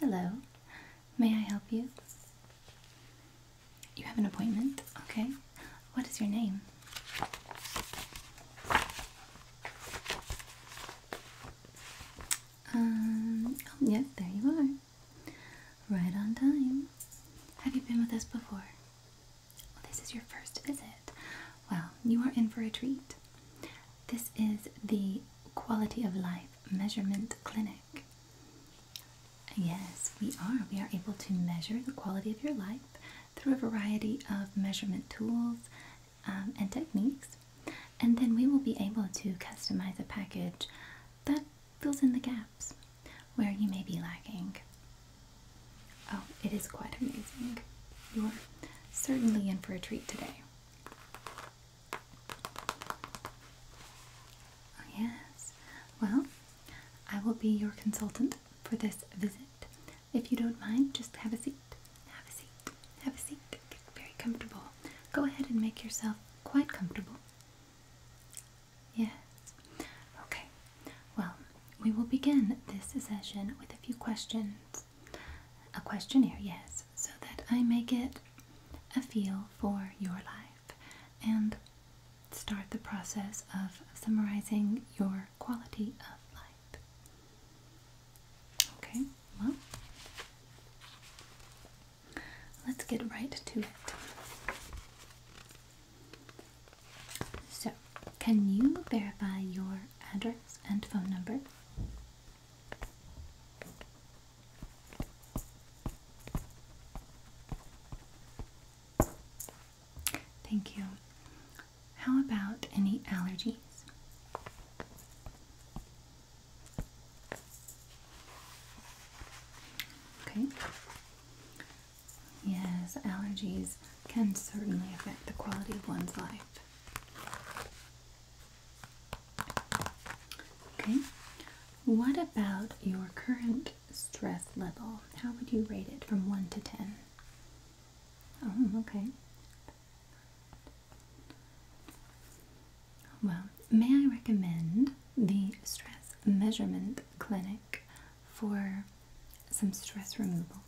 Hello. May I help you? You have an appointment? Okay. What is your name? Um, oh, there you are. Right on time. Have you been with us before? This is your first visit. Well, you are in for a treat. This is the Quality of Life Measurement Clinic. Yes, we are. We are able to measure the quality of your life through a variety of measurement tools um, and techniques. And then we will be able to customize a package that fills in the gaps where you may be lacking. Oh, it is quite amazing. You are certainly in for a treat today. Oh, yes. Well, I will be your consultant for this visit. If you don't mind, just have a seat. Have a seat. Have a seat. very comfortable. Go ahead and make yourself quite comfortable. Yes. Okay. Well, we will begin this session with a few questions. A questionnaire, yes, so that I may get a feel for your life and start the process of summarizing your quality of life. Okay, well, let's get right to it. So, can you verify your address and phone number? Thank you. How about any allergies? Okay. Yes, allergies can certainly affect the quality of one's life. Okay, what about your current stress level? How would you rate it from 1 to 10? Oh, okay. Well, may I recommend the Stress Measurement Clinic for some stress removal.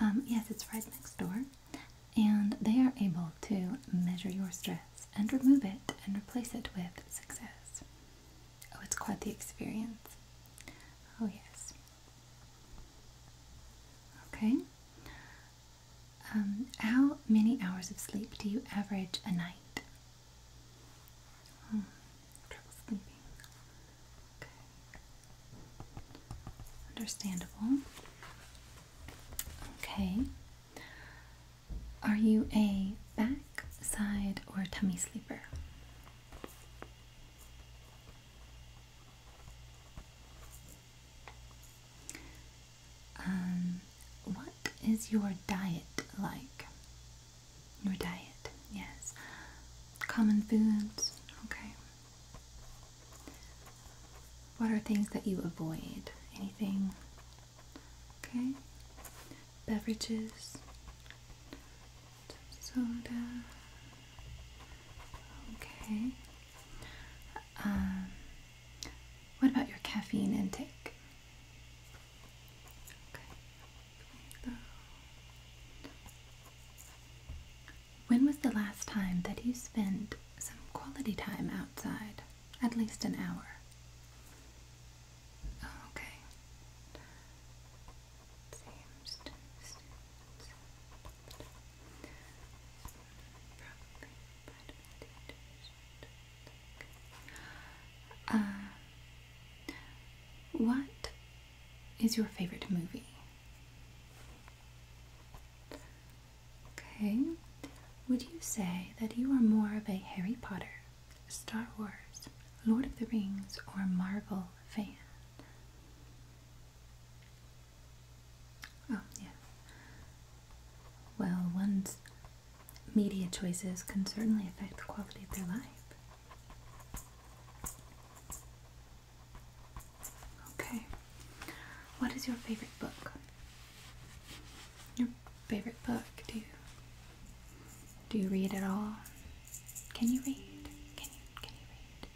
Um, yes, it's right next door, and they are able to measure your stress and remove it and replace it with success. Oh, it's quite the experience. Oh, yes. Okay. Um, how many hours of sleep do you average a night? Hmm. Trouble sleeping. Okay. Understandable. Okay. Are you a back, side, or tummy sleeper? Um, what is your diet like? Your diet, yes. Common foods, okay. What are things that you avoid? Anything? Okay. Beverages. Soda. Okay. Um, what about your caffeine intake? Okay. When was the last time that you spent some quality time outside? At least an hour. okay. Uh, what is your favorite movie? Okay. Would you say that you are more of a Harry Potter, Star Wars, Lord of the Rings, or Marvel fan? Oh, yeah. Well, one's media choices can certainly affect the quality of their life. Okay. What is your favorite book? Your favorite book? Do you do you read at all? Can you read? Can you can you read?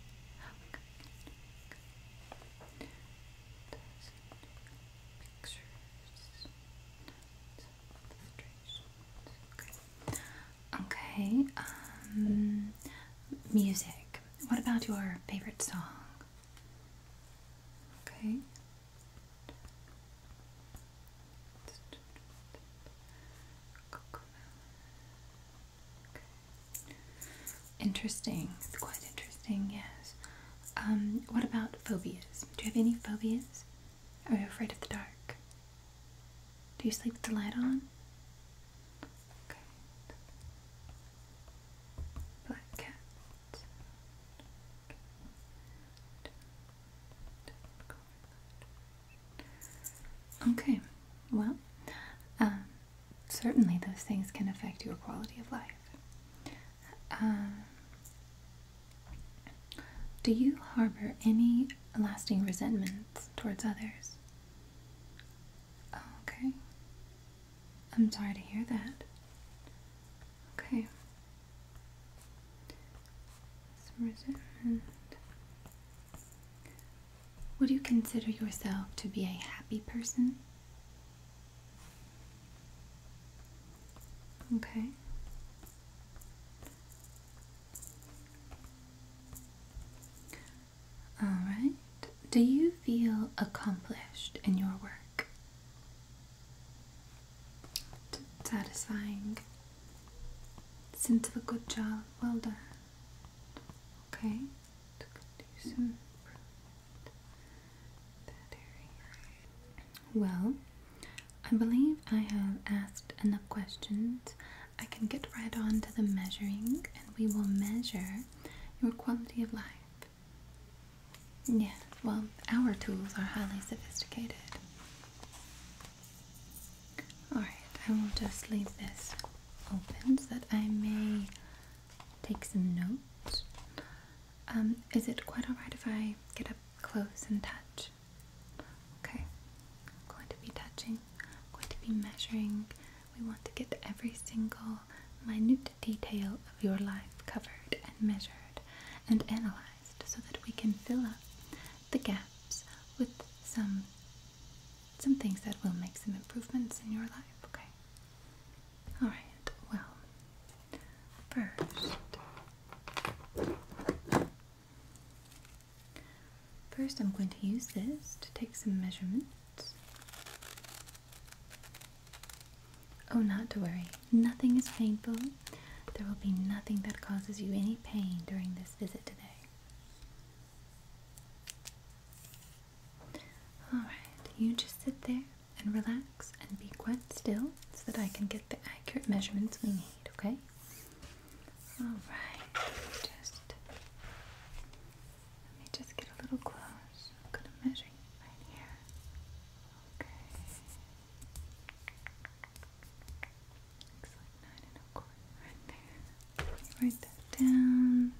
Okay, um, music. What about your favorite song? Okay. Interesting. It's quite interesting, yes. Um, what about phobias? Do you have any phobias? Are you afraid of the dark? Do you sleep with the light on? Okay. Black cat. Okay, well, um, certainly those things can affect your quality of life. Um, do you harbor any lasting resentment towards others. Oh, okay. I'm sorry to hear that. Okay. resentment. Would you consider yourself to be a happy person? Okay. Alright. Do you feel accomplished in your work? Satisfying. Sense of a good job. Well done. Okay. well, I believe I have asked enough questions I can get right on to the measuring and we will measure your quality of life. Yeah, well, our tools are highly sophisticated. Alright, I will just leave this open so that I may take some notes. Um, is it quite alright if I get up close and touch? Okay, going to be touching, going to be measuring. We want to get every single minute detail of your life covered and measured and analyzed so that we can fill up the gaps with some some things that will make some improvements in your life, okay? Alright, well first First, I'm going to use this to take some measurements. Oh, not to worry. Nothing is painful. There will be nothing that causes you any pain during this visit today. Alright, you just sit there and relax and be quite still so that I can get the accurate measurements we need, okay? Alright, let me just get a little close. I'm gonna measure right here. Okay. Looks like nine and a quarter right there. You write down.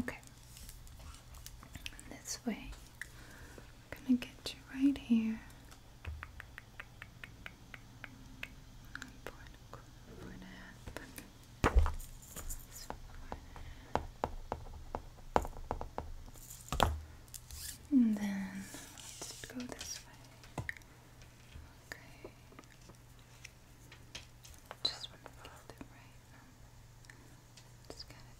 Okay. And this way, I'm gonna get you right here. and then let's go this way. Okay. Just want to follow the right Just gotta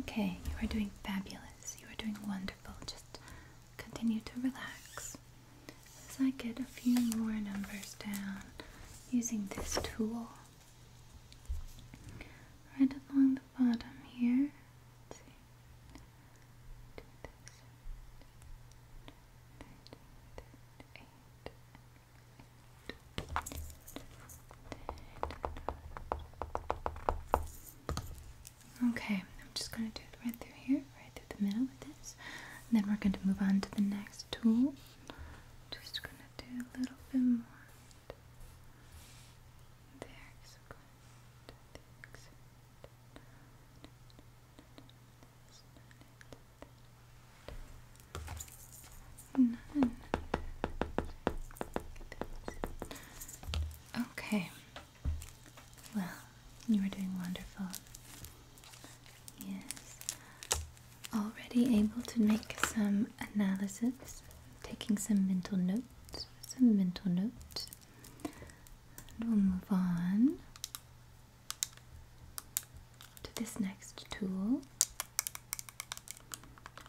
Okay, you are doing fabulous. You are doing wonderful. Just continue to relax. As I get a few more numbers down using this tool, right along the bottom here, Okay, I'm just going to do it right through here, right through the middle with this. then we're going to move on to the next tool. Just going to do a little bit more. There, None. Okay. Well, you are doing wonderful. Yes. Already able to make some analysis, taking some mental notes, some mental notes. And we'll move on to this next tool.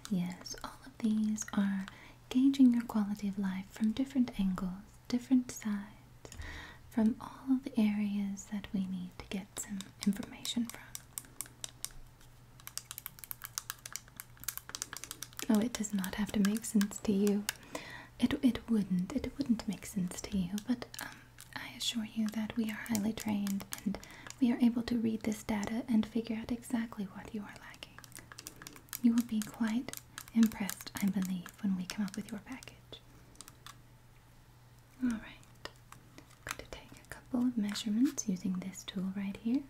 Yes, all of these are gauging your quality of life from different angles, different sides, from all of the areas that we need to get some information from. Oh, it does not have to make sense to you. It it wouldn't it wouldn't make sense to you, but um, I assure you that we are highly trained and we are able to read this data and figure out exactly what you are lacking. You will be quite impressed, I believe, when we come up with your package. All right, I'm going to take a couple of measurements using this tool right here.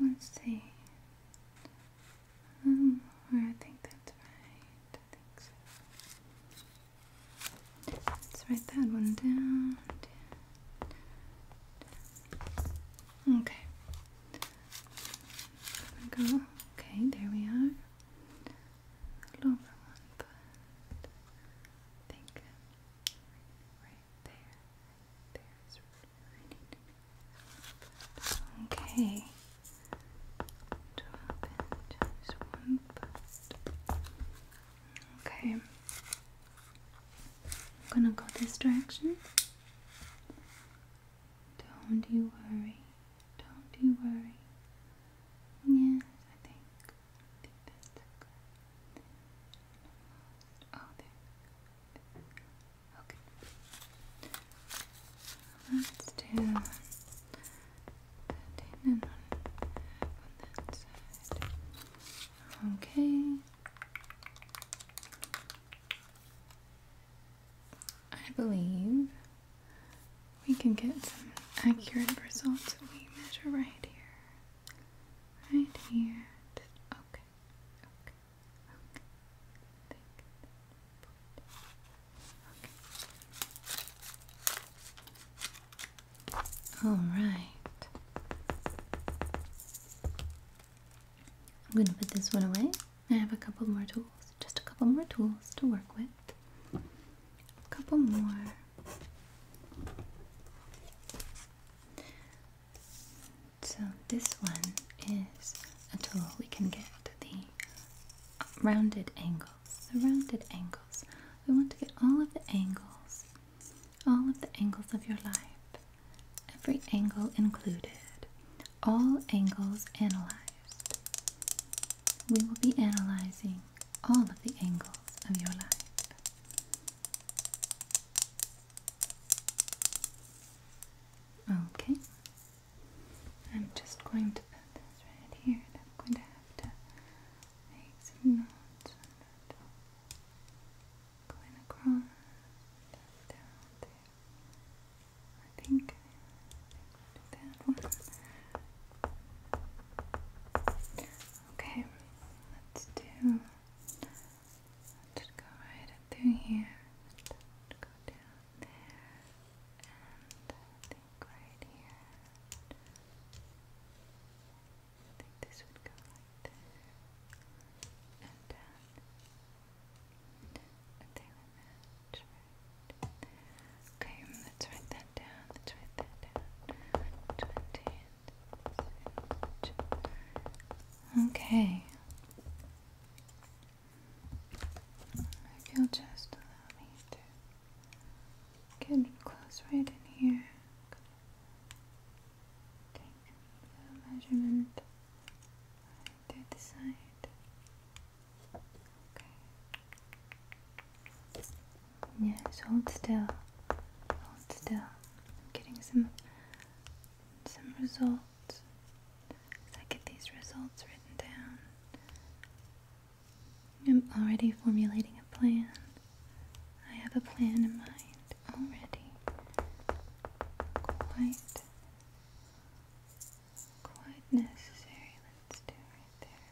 Let's see. Um, I think that's right. Let's write that one down. Okay. There we go. Okay, there we are. A one, but think right there, there is Okay. Drop it, one part. Okay. I'm gonna go this direction. Don't you worry. Don't you worry. Yes, I think. that's good. Oh, okay. Let's do thirteen and one on that side. Okay. I believe we can get some accurate results if we measure right here. Right here. Okay. All right. I'm going to put this one away. I have a couple more tools, just a couple more tools to work with. A couple more. So this one is a tool we can get the rounded angles. The rounded angles. We want to get all of the angles, all of the angles of your life, every angle included, all angles analyzed. We will be analyzing all of the angles of your life. Okay. I'm just going to put this right here I'm going to have to make some knots on that. Going across, down there. I think Okay, let's do I'll just go right up through here and go down there and I think right here I think this would go like there and down and they would match right okay, let's write that down, let's write that down 20 Okay. If you just allow me to get close right in here. Take the measurement right the side. Okay. Yes, hold still. Hold still. I'm getting some some results I get these results written down. I'm already formulating a plan. I have a plan in mind already. Quite, quite necessary. Let's do right there.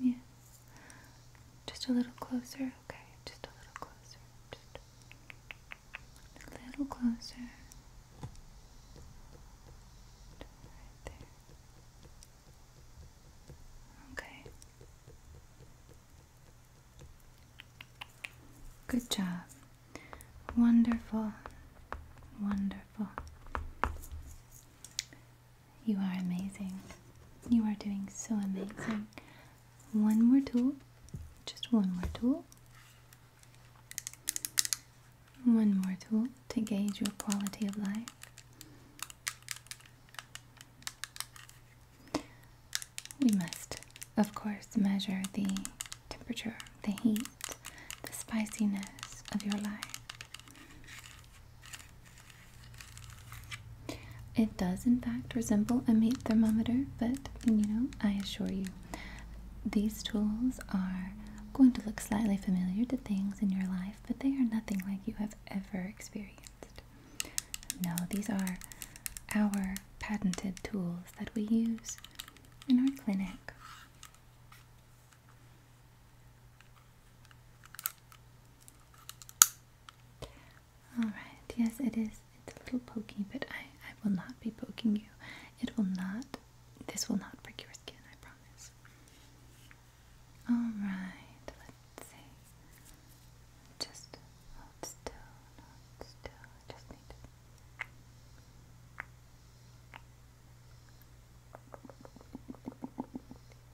Yeah. Just a little closer, okay? Just a little closer. Just a little closer. Right there. Okay. Good job. Wonderful. Wonderful. You are amazing. You are doing so amazing. One more tool. Just one more tool. One more tool to gauge your quality of life. We must, of course, measure the temperature, the heat, the spiciness of your life. It does, in fact, resemble a meat thermometer, but you know, I assure you, these tools are going to look slightly familiar to things in your life, but they are nothing like you have ever experienced. No, these are our patented tools that we use in our clinic. Alright, yes, it is. It's a little pokey, but I, I will not be poking you. It will not, this will not break your skin, I promise. Alright, let's see. Just hold still, I just need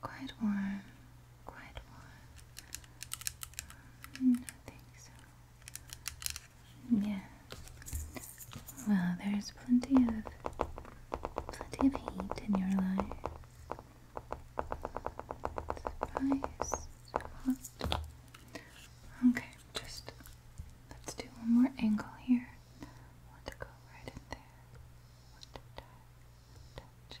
quite warm, quite warm. Mm, so. Yeah. Well, there's plenty of plenty of heat in your life. Spice, hot. Okay, just let's do one more angle here. want to go right in there. want to touch, touch,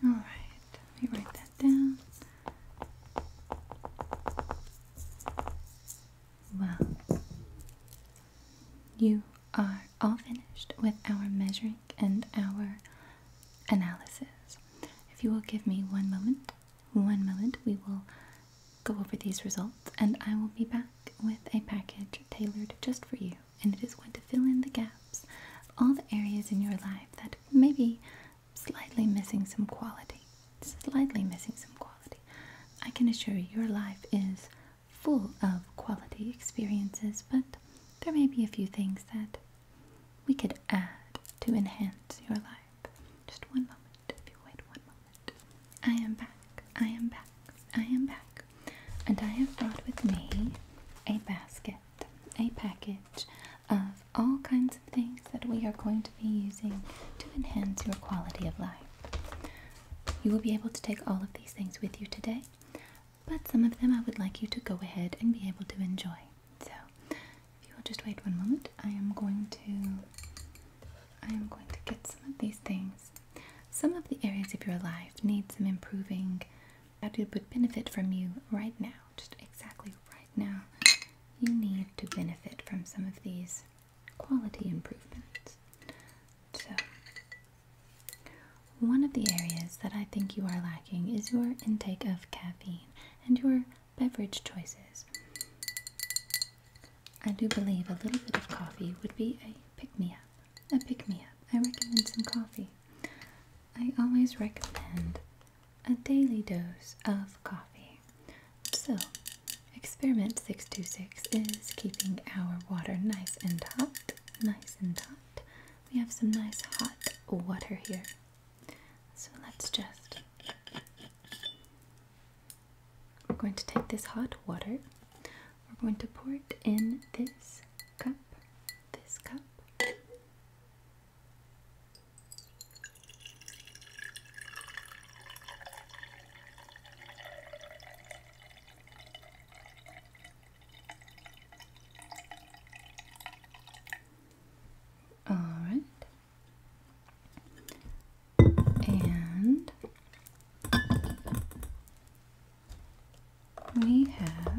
Okay. All right. Let me write that down. Well, you are all finished with our measuring and our analysis. If you will give me one moment, one moment, we will go over these results and I will be back with a package tailored just for you and it is going to fill in the gaps of all the areas in your life that may be slightly missing some quality. Slightly missing some quality. I can assure you, your life is full of quality experiences, but there may be a few things that we could add to enhance your life. Just one moment, if you wait one moment. I am back, I am back, I am back. And I have brought with me a basket, a package of all kinds of things that we are going to be using to enhance your quality of life. You will be able to take all of these things with you today, but some of them I would like you to go ahead and be able to enjoy. So, if you will just wait one moment, I am going to I am going to get some of these things. Some of the areas of your life need some improving Abdu would benefit from you right now, just exactly right now. You need to benefit from some of these quality improvements. So, one of the areas that I think you are lacking is your intake of caffeine and your beverage choices. I do believe a little bit of coffee would be a pick me up a uh, pick me up. I recommend some coffee. I always recommend a daily dose of coffee. So, experiment 626 is keeping our water nice and hot. Nice and hot. We have some nice hot water here. So, let's just. We're going to take this hot water, we're going to pour it in this cup, this cup. All right. And we have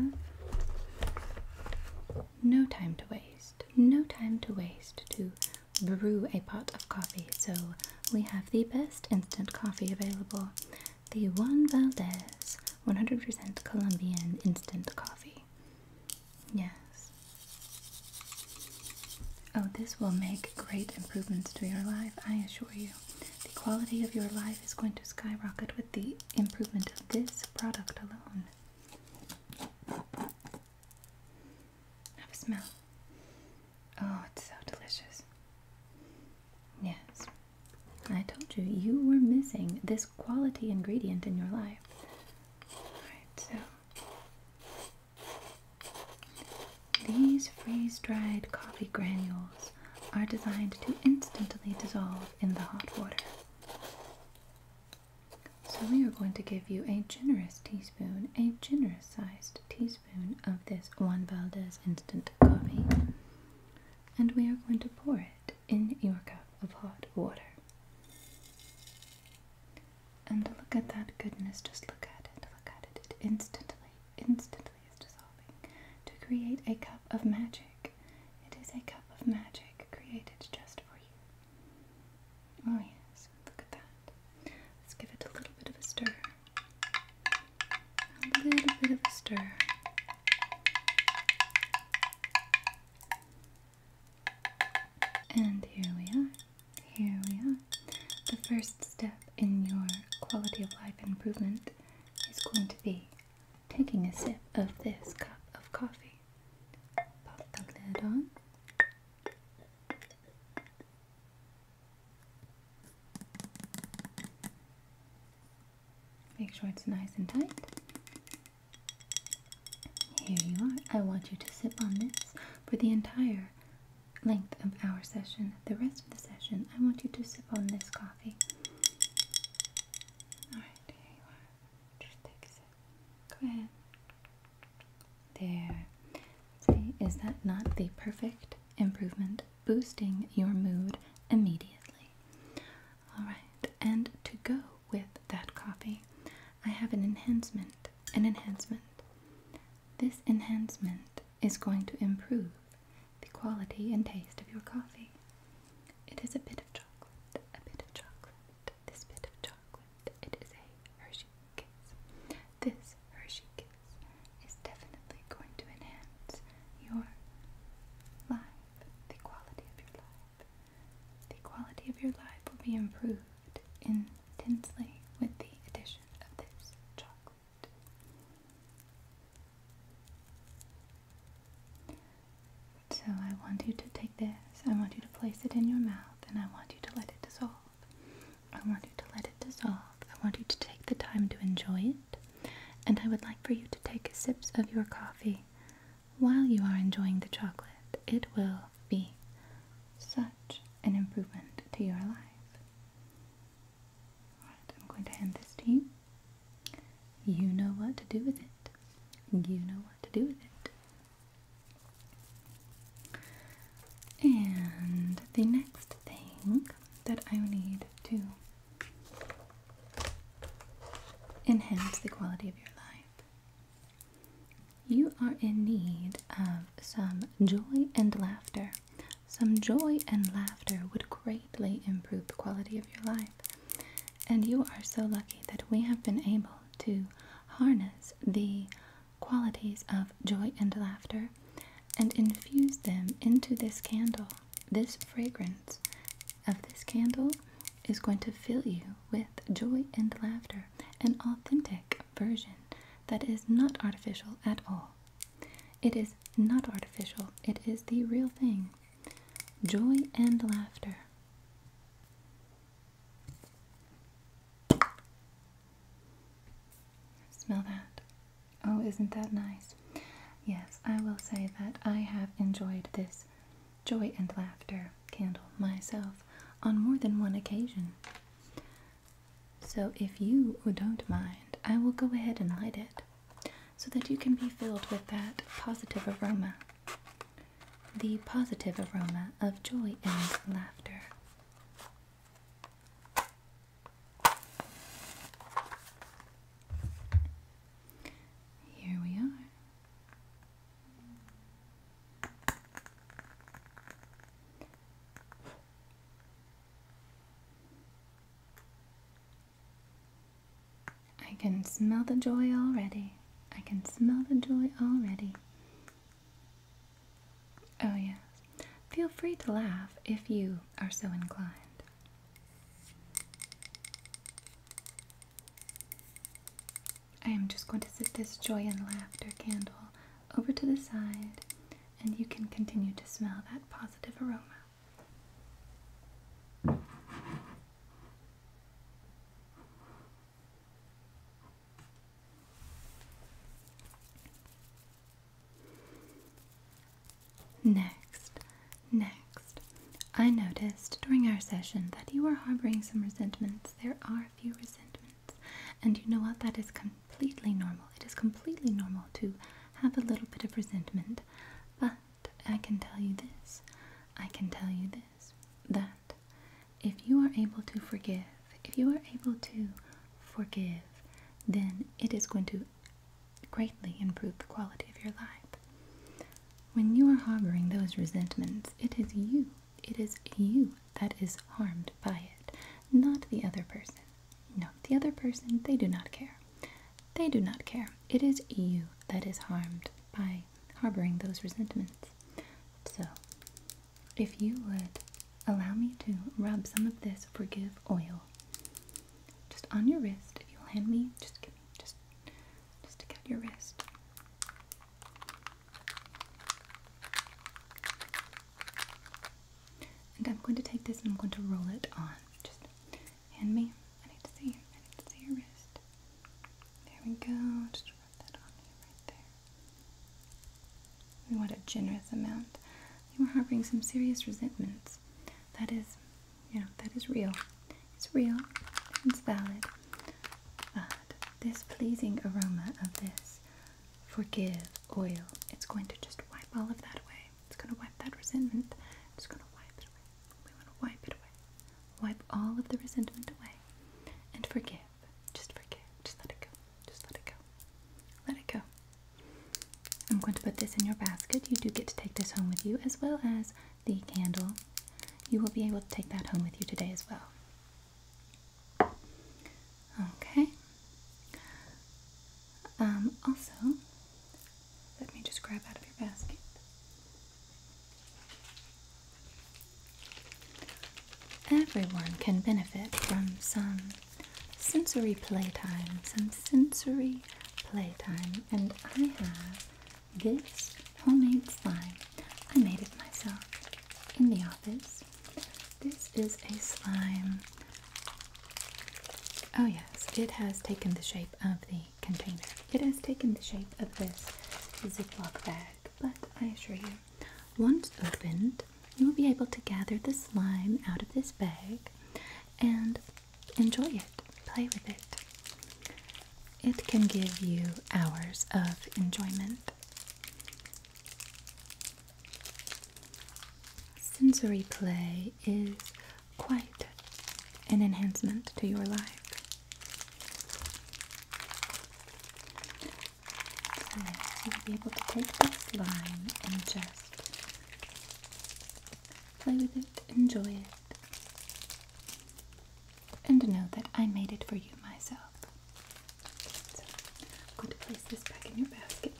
no time to waste. No time to waste to brew a pot of coffee. So we have the best instant coffee available the Juan Valdez 100% Colombian instant coffee. Yes. Oh, this will make great improvements to your life, I assure you. The quality of your life is going to skyrocket with the improvement of this product alone. Have a smell. Oh, it's so delicious. Yes. I told you, you were missing this quality ingredient in your life. Alright, so. These freeze dried coffee granules are designed to instantly dissolve in the hot water. So, we are going to give you a generous teaspoon, a generous sized teaspoon of this Juan Valdez instant coffee, and we are going to pour it in your cup of hot water. And look at that goodness, just look at it, look at it, it instantly, instantly to create a cup of magic. It is a cup of magic created just for you. Oh, yes, look at that. Let's give it a little bit of a stir. A little bit of a stir. And here we are. Here we are. The first step in your quality of life improvement is going to be taking a sip of this cup of coffee. Pop the lid on. Make sure it's nice and tight. Here you are. I want you to sip on this for the entire length of our session. The rest of the session, I want you to sip on this coffee coffee. Alright, here you are. Just take a sip. Go ahead. There. See, is that not the perfect improvement boosting your mood immediately? Alright, and to go with that coffee, I have an enhancement. An enhancement. This enhancement is going to improve the quality and taste of your coffee. It is a bit of chocolate, a bit of chocolate, this bit of chocolate. It is a Hershey Kiss. This Hershey Kiss is definitely going to enhance your life, the quality of your life. The quality of your life will be improved intensely with the addition of this chocolate. So I want you to take this, I want you to place it in your mouth, and I want you to let it dissolve. I want you to let it dissolve. I want you to take the time to enjoy it, and I would like for you to take sips of your coffee while you are enjoying the chocolate. It will be such an improvement to your life. I'm going to hand this to you. You know what to do with it. You know what to do with it. And the next thing that I need to enhance the quality of your life. You are in need of some joy and laughter. Some joy and laughter would greatly improve the quality of your life. And you are so lucky that we have been able to harness the qualities of joy and laughter and infuse them into this candle. This fragrance of this candle is going to fill you with joy and laughter, an authentic version that is not artificial at all. It is not artificial, it is the real thing. Joy and laughter. Smell that. Oh, isn't that nice? Yes, I will say that I have enjoyed this joy and laughter candle myself on more than one occasion. So, if you don't mind, I will go ahead and light it so that you can be filled with that positive aroma. The positive aroma of joy and laughter. Here we are. I can smell the joy already. I can smell the joy already. Oh, yes. Feel free to laugh if you are so inclined. I am just going to set this joy and laughter candle over to the side and you can continue to smell that positive aroma. Next, next, I noticed during our session that you are harboring some resentments. There are few resentments, and you know what? That is completely normal. It is completely normal to have a little bit of resentment. But I can tell you this, I can tell you this, that if you are able to forgive, if you are able to forgive, then it is going to greatly improve the quality of your life. When you are harboring those resentments, it is you, it is you that is harmed by it, not the other person. No, the other person, they do not care. They do not care. It is you that is harmed by harboring those resentments. So, if you would allow me to rub some of this forgive oil just on your wrist, if you'll hand me, just give me, just, just stick out your wrist. And I'm going to take this and I'm going to roll it on. Just hand me. I need to see. I need to see your wrist. There we go. Just rub that on you right there. We want a generous amount. You are harboring some serious resentments. That is, you know, that is real. It's real. It's valid. But this pleasing aroma of this forgive oil. It's going to just wipe all of that away. It's going to wipe that resentment. It's going to wipe it away. We want to wipe it away. Wipe all of the resentment away and forgive. Just forgive. Just let it go. Just let it go. Let it go. I'm going to put this in your basket. You do get to take this home with you as well as the candle. You will be able to take that home with you today as well. Okay. Um, also, let me just grab out of your basket. Everyone can benefit from some sensory playtime, some sensory playtime, and I have this homemade slime. I made it myself in the office. This is a slime. Oh, yes, it has taken the shape of the container. It has taken the shape of this Ziploc bag, but I assure you, once opened, you will be able to gather the slime out of this bag and enjoy it, play with it. It can give you hours of enjoyment. Sensory play is quite an enhancement to your life. So you'll be able to take this line and just play with it, enjoy it, and know that I made it for you myself. I'm going to place this back in your basket.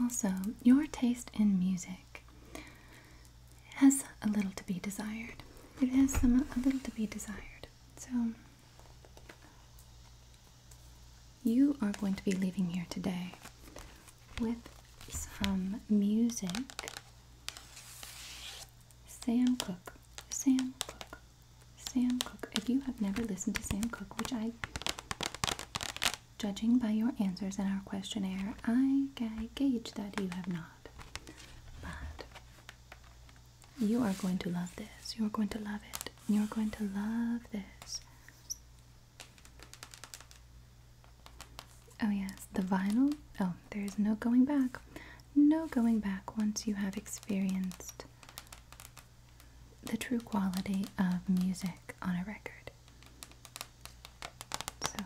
Also, your taste in music has a little to be desired. It has some a little to be desired. So you are going to be leaving here today with some music. Sam Cooke, Sam Cooke, Sam Cooke. If you have never listened to Sam Cooke, which I, judging by your answers in our questionnaire, I, I gauge that you have not. But you are going to love this. You're going to love it. You're going to love this. Oh, yes, the vinyl. Oh, there's no going back. No going back once you have experienced the true quality of music on a record. So.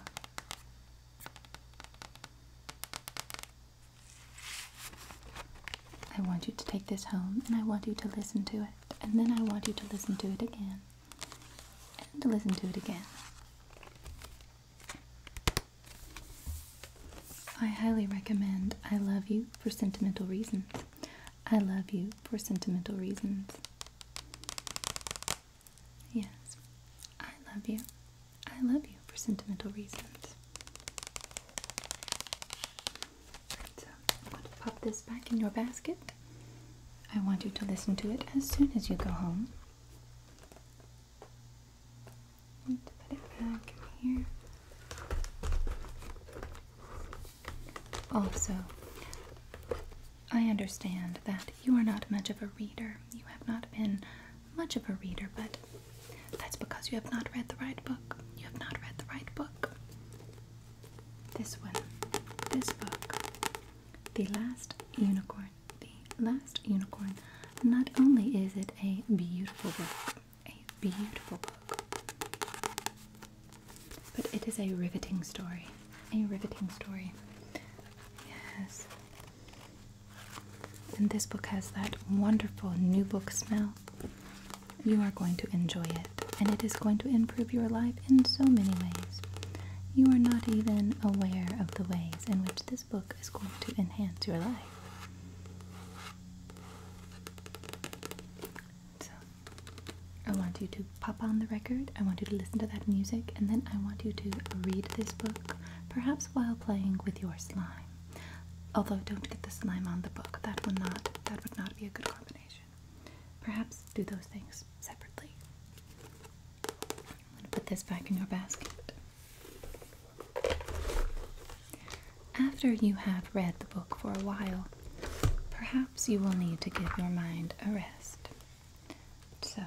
I want you to take this home and I want you to listen to it. And then I want you to listen to it again and listen to it again. I highly recommend I Love You for Sentimental Reasons. I Love You for Sentimental Reasons. Yes, I love you. I love you for sentimental reasons. So uh, pop this back in your basket. I want you to listen to it as soon as you go home put it back here. Also, I understand that you are not much of a reader. You have not been much of a reader, but that's because you have not read the right book. You have not read the right book. This one, this book, The Last Unicorn the Last Unicorn. Not only is it a beautiful book, a beautiful book, but it is a riveting story. A riveting story. Yes. And this book has that wonderful new book smell. You are going to enjoy it, and it is going to improve your life in so many ways. You are not even aware of the ways in which this book is going to enhance your life. So, I want you to pop on the record, I want you to listen to that music, and then I want you to read this book, perhaps while playing with your slime. Although don't get the slime on the book. That would not that would not be a good combination. Perhaps do those things separately. I'm going to put this back in your basket. After you have read the book for a while, perhaps you will need to give your mind a rest. So,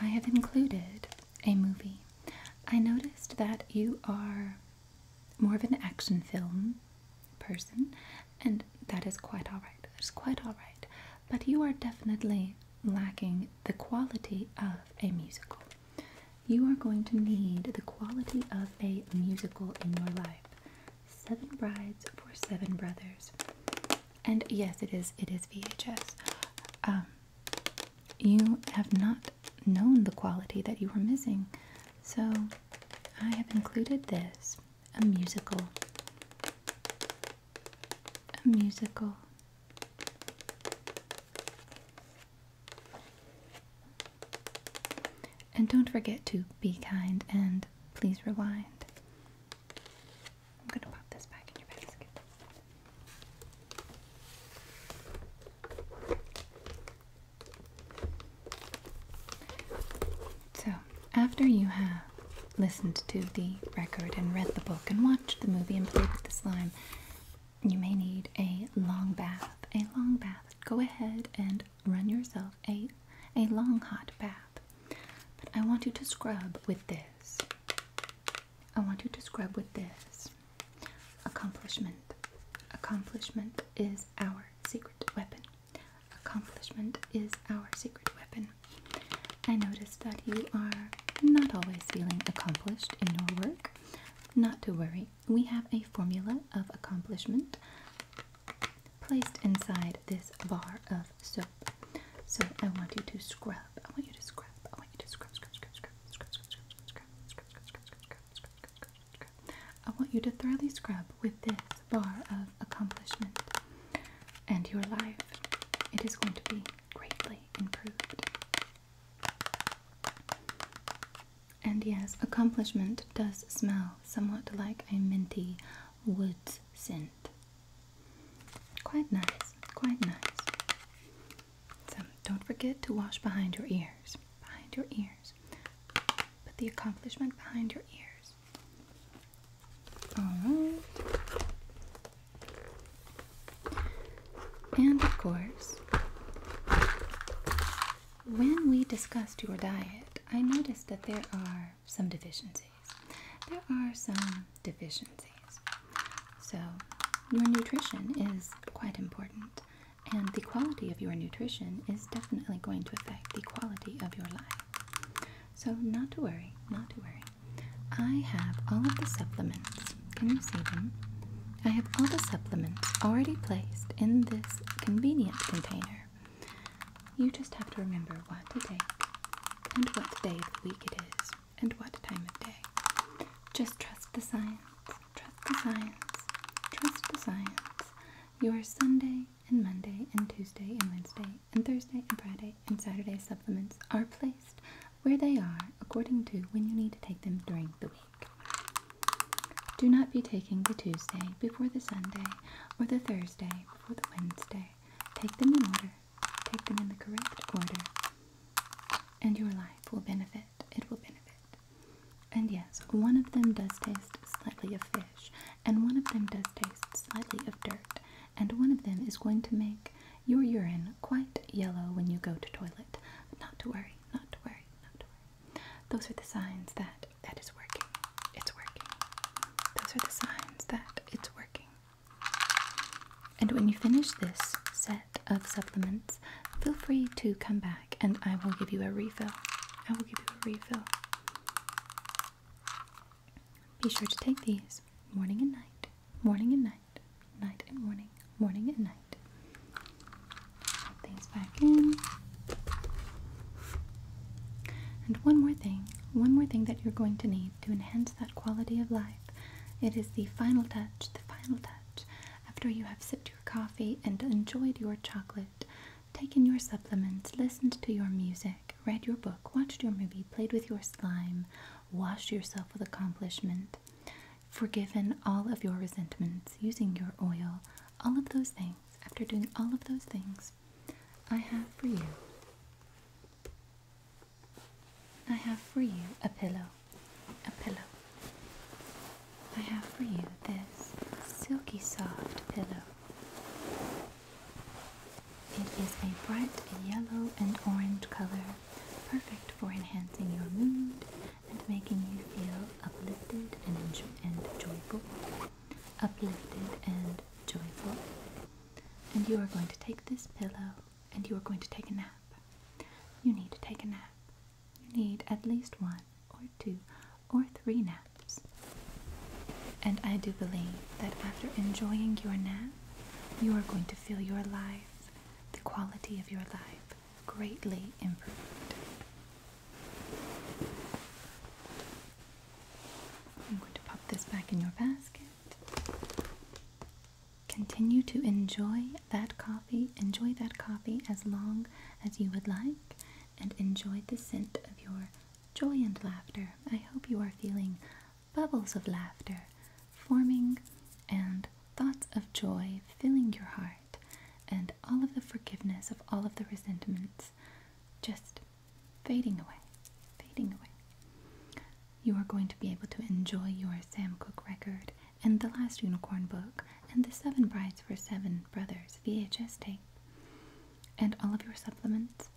I have included a movie. I noticed that you are more of an action film person, and that is quite all right. That's quite all right. But you are definitely lacking the quality of a musical. You are going to need the quality of a musical in your life. Seven Brides for Seven Brothers. And yes, it is. It is VHS. Um, you have not known the quality that you were missing, so I have included this, a musical, a musical. And don't forget to be kind and please rewind. I'm going to pop this back in your basket. So, after you have listened to the record and read the book and watched the movie and played with the slime, you may need a long bath. A long bath. Go ahead and run yourself a a long hot bath. But I want you to scrub with this. I want you to scrub with this. Accomplishment. Accomplishment is our secret weapon. Accomplishment is our secret weapon. I notice that you are not always feeling accomplished in your work. Not to worry, we have a formula of accomplishment placed inside this bar of soap. So I want you to scrub. I want you to scrub. I want you to scrub, scrub, scrub, scrub, scrub, scrub, scrub, scrub, scrub, scrub, scrub, scrub, scrub, scrub, scrub, scrub, scrub, scrub. I want you to thoroughly scrub with this bar of accomplishment and your life. It is going to be greatly improved. And yes, accomplishment does smell somewhat like a minty wood scent. Quite nice, quite nice. So don't forget to wash behind your ears. Behind your ears. Put the accomplishment behind your ears. Alright. And of course, when we discussed your diet, I noticed that there are some deficiencies. There are some deficiencies. So, your nutrition is quite important, and the quality of your nutrition is definitely going to affect the quality of your life. So, not to worry, not to worry. I have all of the supplements. Can you see them? I have all the supplements already placed in this convenient container. You just have to remember what to take and what day of the week it is and what time of day. Just trust the science. Trust the science. Trust the science. Your Sunday and Monday and Tuesday and Wednesday and Thursday and Friday and Saturday supplements are placed where they are according to when you need to take them during the week. Do not be taking the Tuesday before the Sunday or the Thursday before the Wednesday. Take them in order. Take them in the correct order. And your life will benefit. It will benefit. And yes, one of them does taste slightly of fish and one of them does taste slightly of dirt, and one of them is going to make your urine quite yellow when you go to toilet. But not to worry, not to worry, not to worry. Those are the signs that that is working. It's working. Those are the signs that it's working. And when you finish this set of supplements, feel free to come back and I will give you a refill. I will give you a refill. Be sure to take these morning and night, morning and night, night and morning, morning and night. Put things back in. And one more thing, one more thing that you're going to need to enhance that quality of life. It is the final touch, the final touch. After you have sipped your coffee and enjoyed your chocolate, taken your supplements, listened to your music, read your book, watched your movie, played with your slime, washed yourself with accomplishment, forgiven all of your resentments, using your oil, all of those things, after doing all of those things, I have for you. I have for you a pillow, a pillow. I have for you this silky soft pillow. It is a bright yellow and orange color, perfect for enhancing your mood and making you feel uplifted and, joyful. Uplifted and joyful. And you are going to take this pillow and you are going to take a nap. You need to take a nap. You need at least one or two or three naps. And I do believe that after enjoying your nap, you are going to feel your life, the quality of your life, greatly improved. I'm going to pop this back in your basket. Continue to enjoy that coffee. Enjoy that coffee as long as you would like and enjoy the scent of your joy and laughter. I hope you are feeling bubbles of laughter forming and thoughts of joy filling your heart and all of the forgiveness of all of the resentments just fading away, fading away. You are going to be able to enjoy your Sam Cooke record and the last unicorn book and the Seven Brides for Seven Brothers VHS tape and all of your supplements.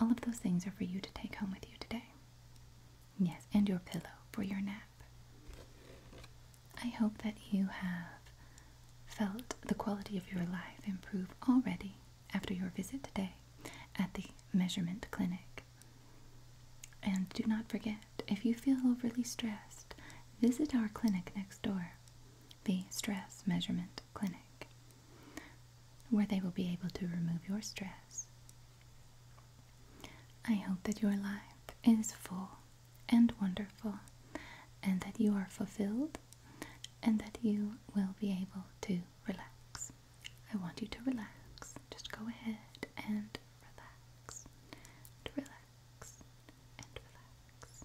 All of those things are for you to take home with you today. Yes, and your pillow for your nap. I hope that you have felt the quality of your life improve already after your visit today at the measurement clinic. And do not forget, if you feel overly stressed, visit our clinic next door, the Stress Measurement Clinic where they will be able to remove your stress. I hope that your life is full and wonderful, and that you are fulfilled, and that you will be able to relax. I want you to relax. Just go ahead and relax, relax, and relax.